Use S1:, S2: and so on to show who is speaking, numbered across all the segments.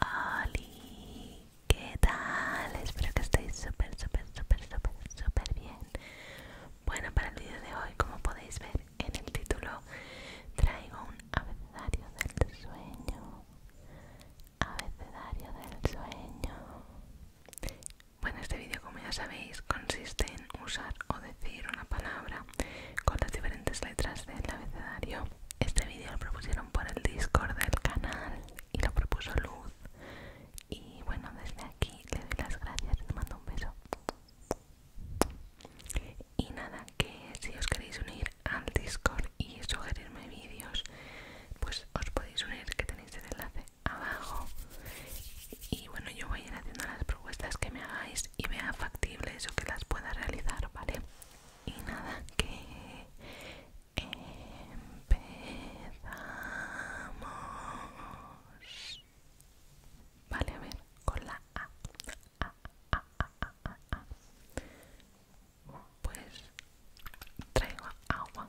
S1: ¡Hola! ¿qué tal? Espero que estéis súper, súper, súper, súper, súper bien. Bueno, para el vídeo de hoy, como podéis ver en el título, traigo un abecedario del sueño. Abecedario del sueño. Bueno, este vídeo, como ya sabéis, consiste en usar o decir una palabra con las diferentes letras del abecedario. Este vídeo lo propusieron por el Discord del canal y lo propuso Luz. Y bueno, desde aquí le doy las gracias y te mando un beso. Y nada, que si os queréis unir al Discord y sugerirme vídeos, pues os podéis unir que tenéis el enlace abajo. Y bueno, yo voy a ir haciendo las que me hagáis y vea factibles o que las pueda realizar, ¿vale? Y nada, que empezamos. Vale, a ver, con la A. Pues traigo agua.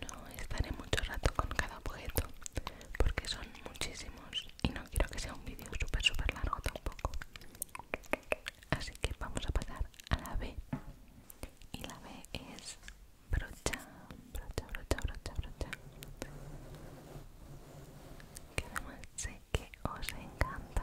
S1: No estaré mucho rato con cada objeto porque son muchísimos y no quiero que sea un vídeo súper súper largo tampoco. Así que vamos a pasar a la B. Y la B es brocha, brocha, brocha, brocha, brocha. Que sé que os encanta.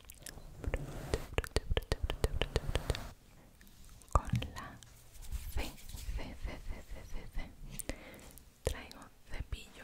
S1: con la C traigo cepillo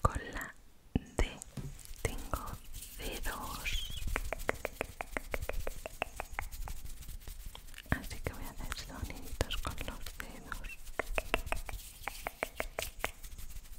S1: Con la D tengo dedos. Así que voy a hacer sonidos con los dedos.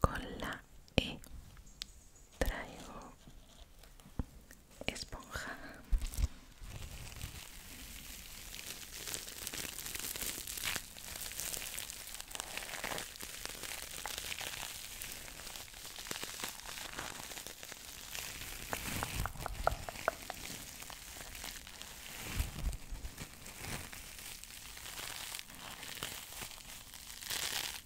S1: con la E traigo esponja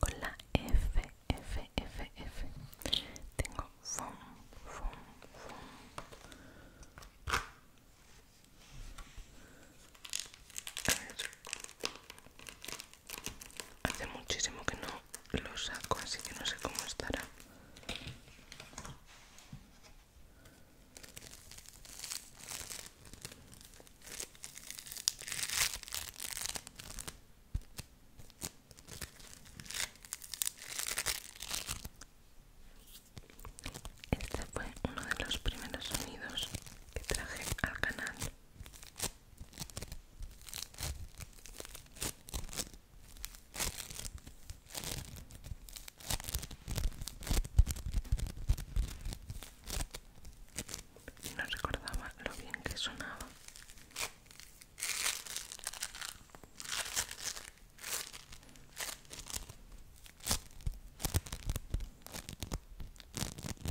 S1: Con la F, F, F, F. Tengo FUN, Hace muchísimo que no lo saco, así que no sé cómo estará. Este fue uno de los primeros sonidos que traje al canal. No recordaba lo bien que sonaba.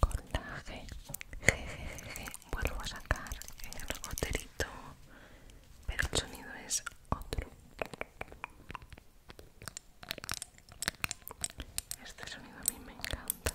S1: Con la G, je, je, G, vuelvo a sacar el goterito, pero el sonido es otro. Este sonido a mí me encanta.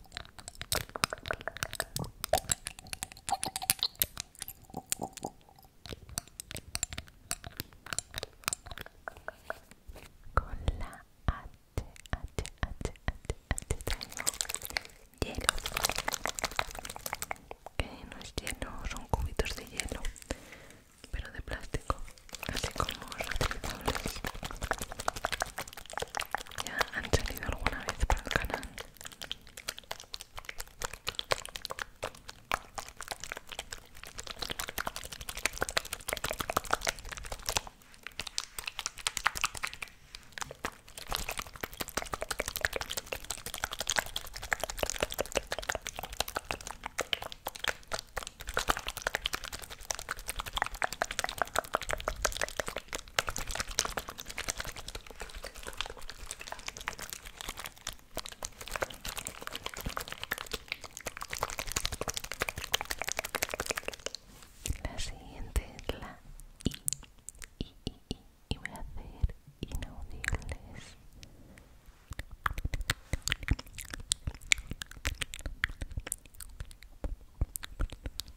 S1: Con la H, H, H, H, H traigo hielo Que no es hielo, son cubitos de hielo, pero de plástico, así como reutilizables ya han salido alguna vez para el canal la siguiente es la I. I, I, I. Y voy a hacer inaudibles.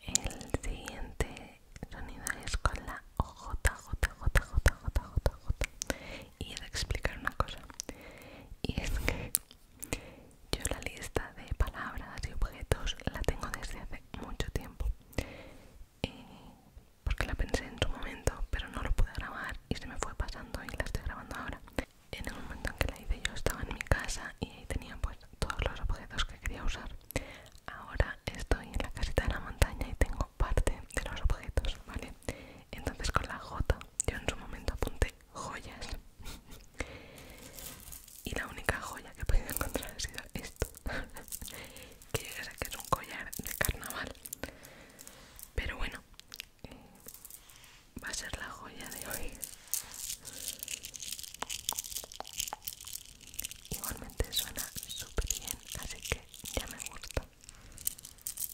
S1: El siguiente sonido es con la OJJJJJJJJ J, y de explicar una cosa y es que yo la lista de palabras y objetos la tengo desde hace mucho tiempo porque la pensé en su momento pero no lo pude grabar y se me fue pasando y la estoy grabando ahora en el momento en que la hice yo estaba en mi casa y ahí tenía pues todos los objetos que quería usar ahora estoy en la casita de la montaña y tengo parte de los objetos, ¿vale? Entonces con la J yo en su momento apunté joyas y la única joya que he podido encontrar ha sido esto, que yo sé que es un collar de carnaval, pero bueno, eh, va a ser la joya de hoy. Igualmente suena súper bien, así que ya me gusta.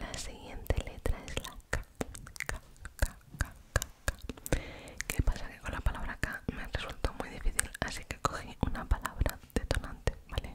S1: La siguiente letra es la K. K, K, K, K, ¿Qué pasa? Que con la palabra K me resultó muy difícil, así que cogí una palabra detonante, ¿vale?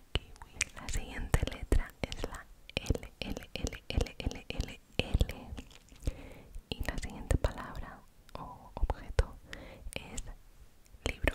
S1: La siguiente letra es la L, L, L, L, L, L. Y la siguiente palabra o objeto es libro.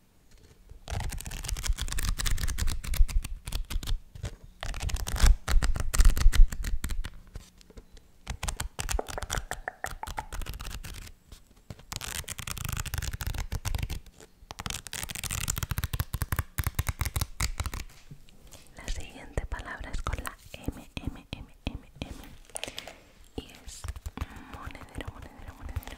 S1: La siguiente palabra es con la M, M, M, M, M y es monedero, monedero, monedero.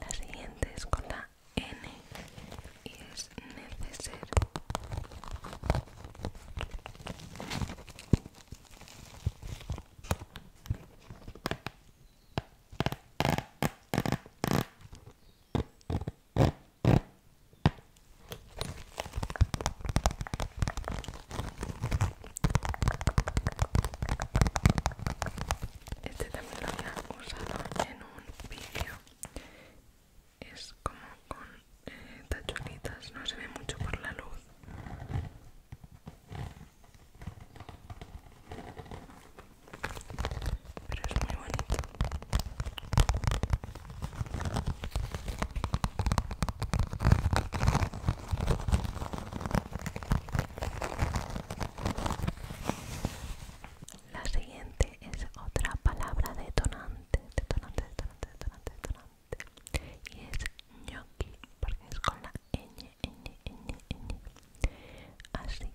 S1: La siguiente es con la N y es neceser. Este también lo había usado en un vídeo. Es como con eh, tachonitas no se ve mucho por la luz pero es muy bonito la siguiente es otra palabra detonante detonante detonante detonante detonante y es ñoqui porque es con la ñ ñ ñ ñ así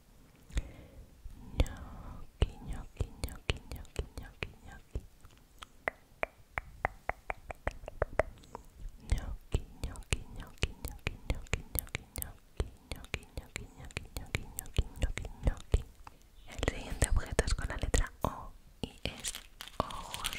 S1: no ñoqui, ñoqui, ñoqui, ñoqui, ñoqui. no ñoqui, ñoqui, ñoqui, ñoqui, ñoqui, ñoqui, ñoqui, ñoqui, ñoqui, ñoqui, ñoqui, ñoqui, El siguiente objeto es con la letra O y es ojos.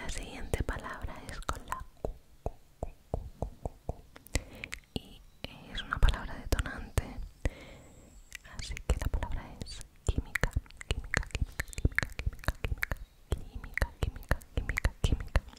S1: La siguiente palabra es con la u u u y es una palabra detonante, así que la palabra es química, química, química, química, química, química, química, química, química, química.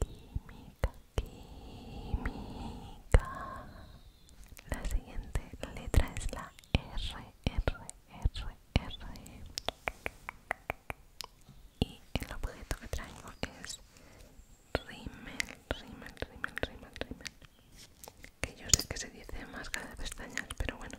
S1: química, química. La siguiente letra es la R, R, R, R. Y el objeto que traigo es Rimmel, Rimmel, Rimmel, Rimmel, Rimmel, Que yo sé que se dice máscara de pestañas, pero bueno.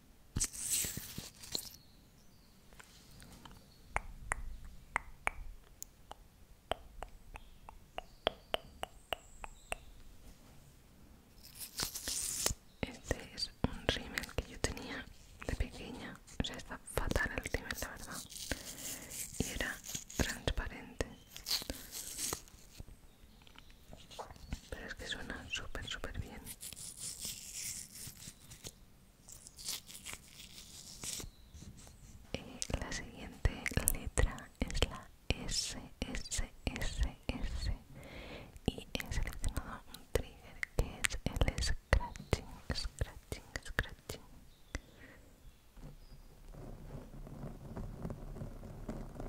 S1: Este es un rímel que yo tenía de pequeña, o sea, está fatal el rímel, la verdad, y era transparente. Pero es que suena súper, súper bien. Eh, la siguiente letra es la S, S, S, S. Y he seleccionado un trigger que es el scratching, scratching, scratching.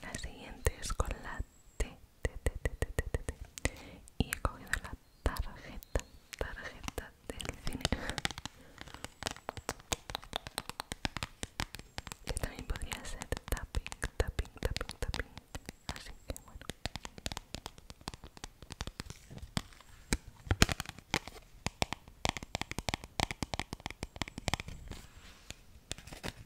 S1: La siguiente es con la T, T, T, T, T, T, T, Y he cogido la tarjeta, tarjeta del cine. Que también podría ser tapping, tapping, tapping, tapping. Así que bueno.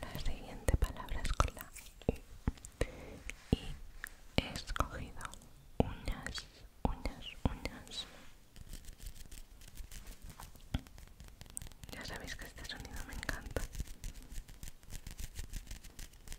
S1: La siguiente palabra es con la I y he escogido uñas, uñas, uñas. Ya sabéis que este sonido me encanta.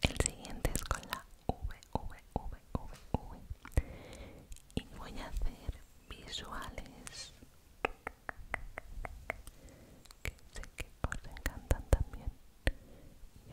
S1: El siguiente es con la V, V, V, V, V. Y voy a hacer visuales que sé que os encantan también y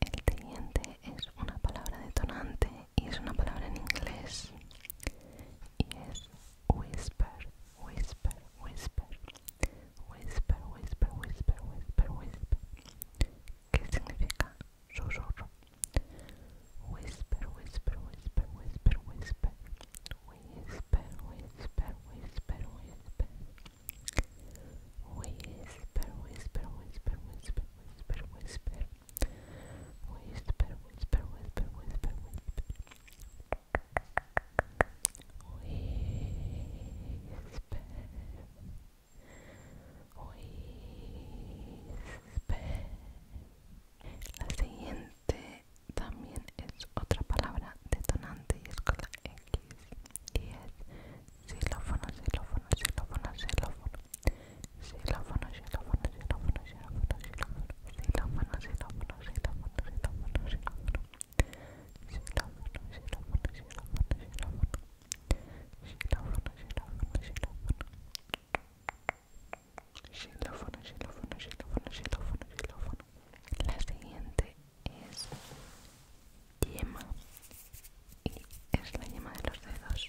S1: El siguiente es una palabra detonante y es una palabra en inglés y es whisper, whisper, whisper, whisper, whisper, whisper, whisper, whisper, ¿Qué significa susurro. whisper, whisper, whisper, whisper, whisper, whisper, whisper, whisper, whisper. Whisper, whisper, whisper, whisper, whisper, whisper. Whisper, whisper, whisper, whisper, whisper. La siguiente también es otra palabra detonante y es con la X y es xilófono, xilófono, xilófono, xilófono, La siguiente es yema y es la yema de los dedos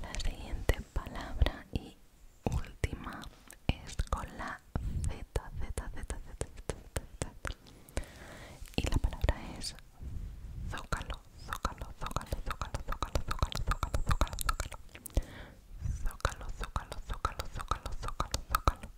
S1: La siguiente palabra y última es con la Z, Z, Z, Z, Z, Z, Z. Y la palabra es zócalo, zócalo, zócalo, zócalo, zócalo, zócalo, zócalo, zócalo, zócalo. Zócalo, zócalo, zócalo, zócalo, zócalo, zócalo.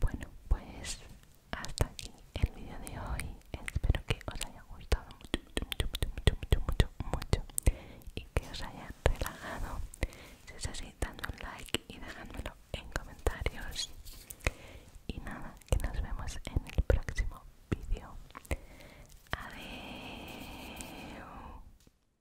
S1: Bueno, pues hasta aquí el vídeo de hoy. Espero que os haya gustado mucho, mucho, mucho, mucho, mucho, mucho, y que os haya relajado. Si es así, dando un like y dejándolo en comentarios. Y nada, que nos vemos en el próximo vídeo. Adiós.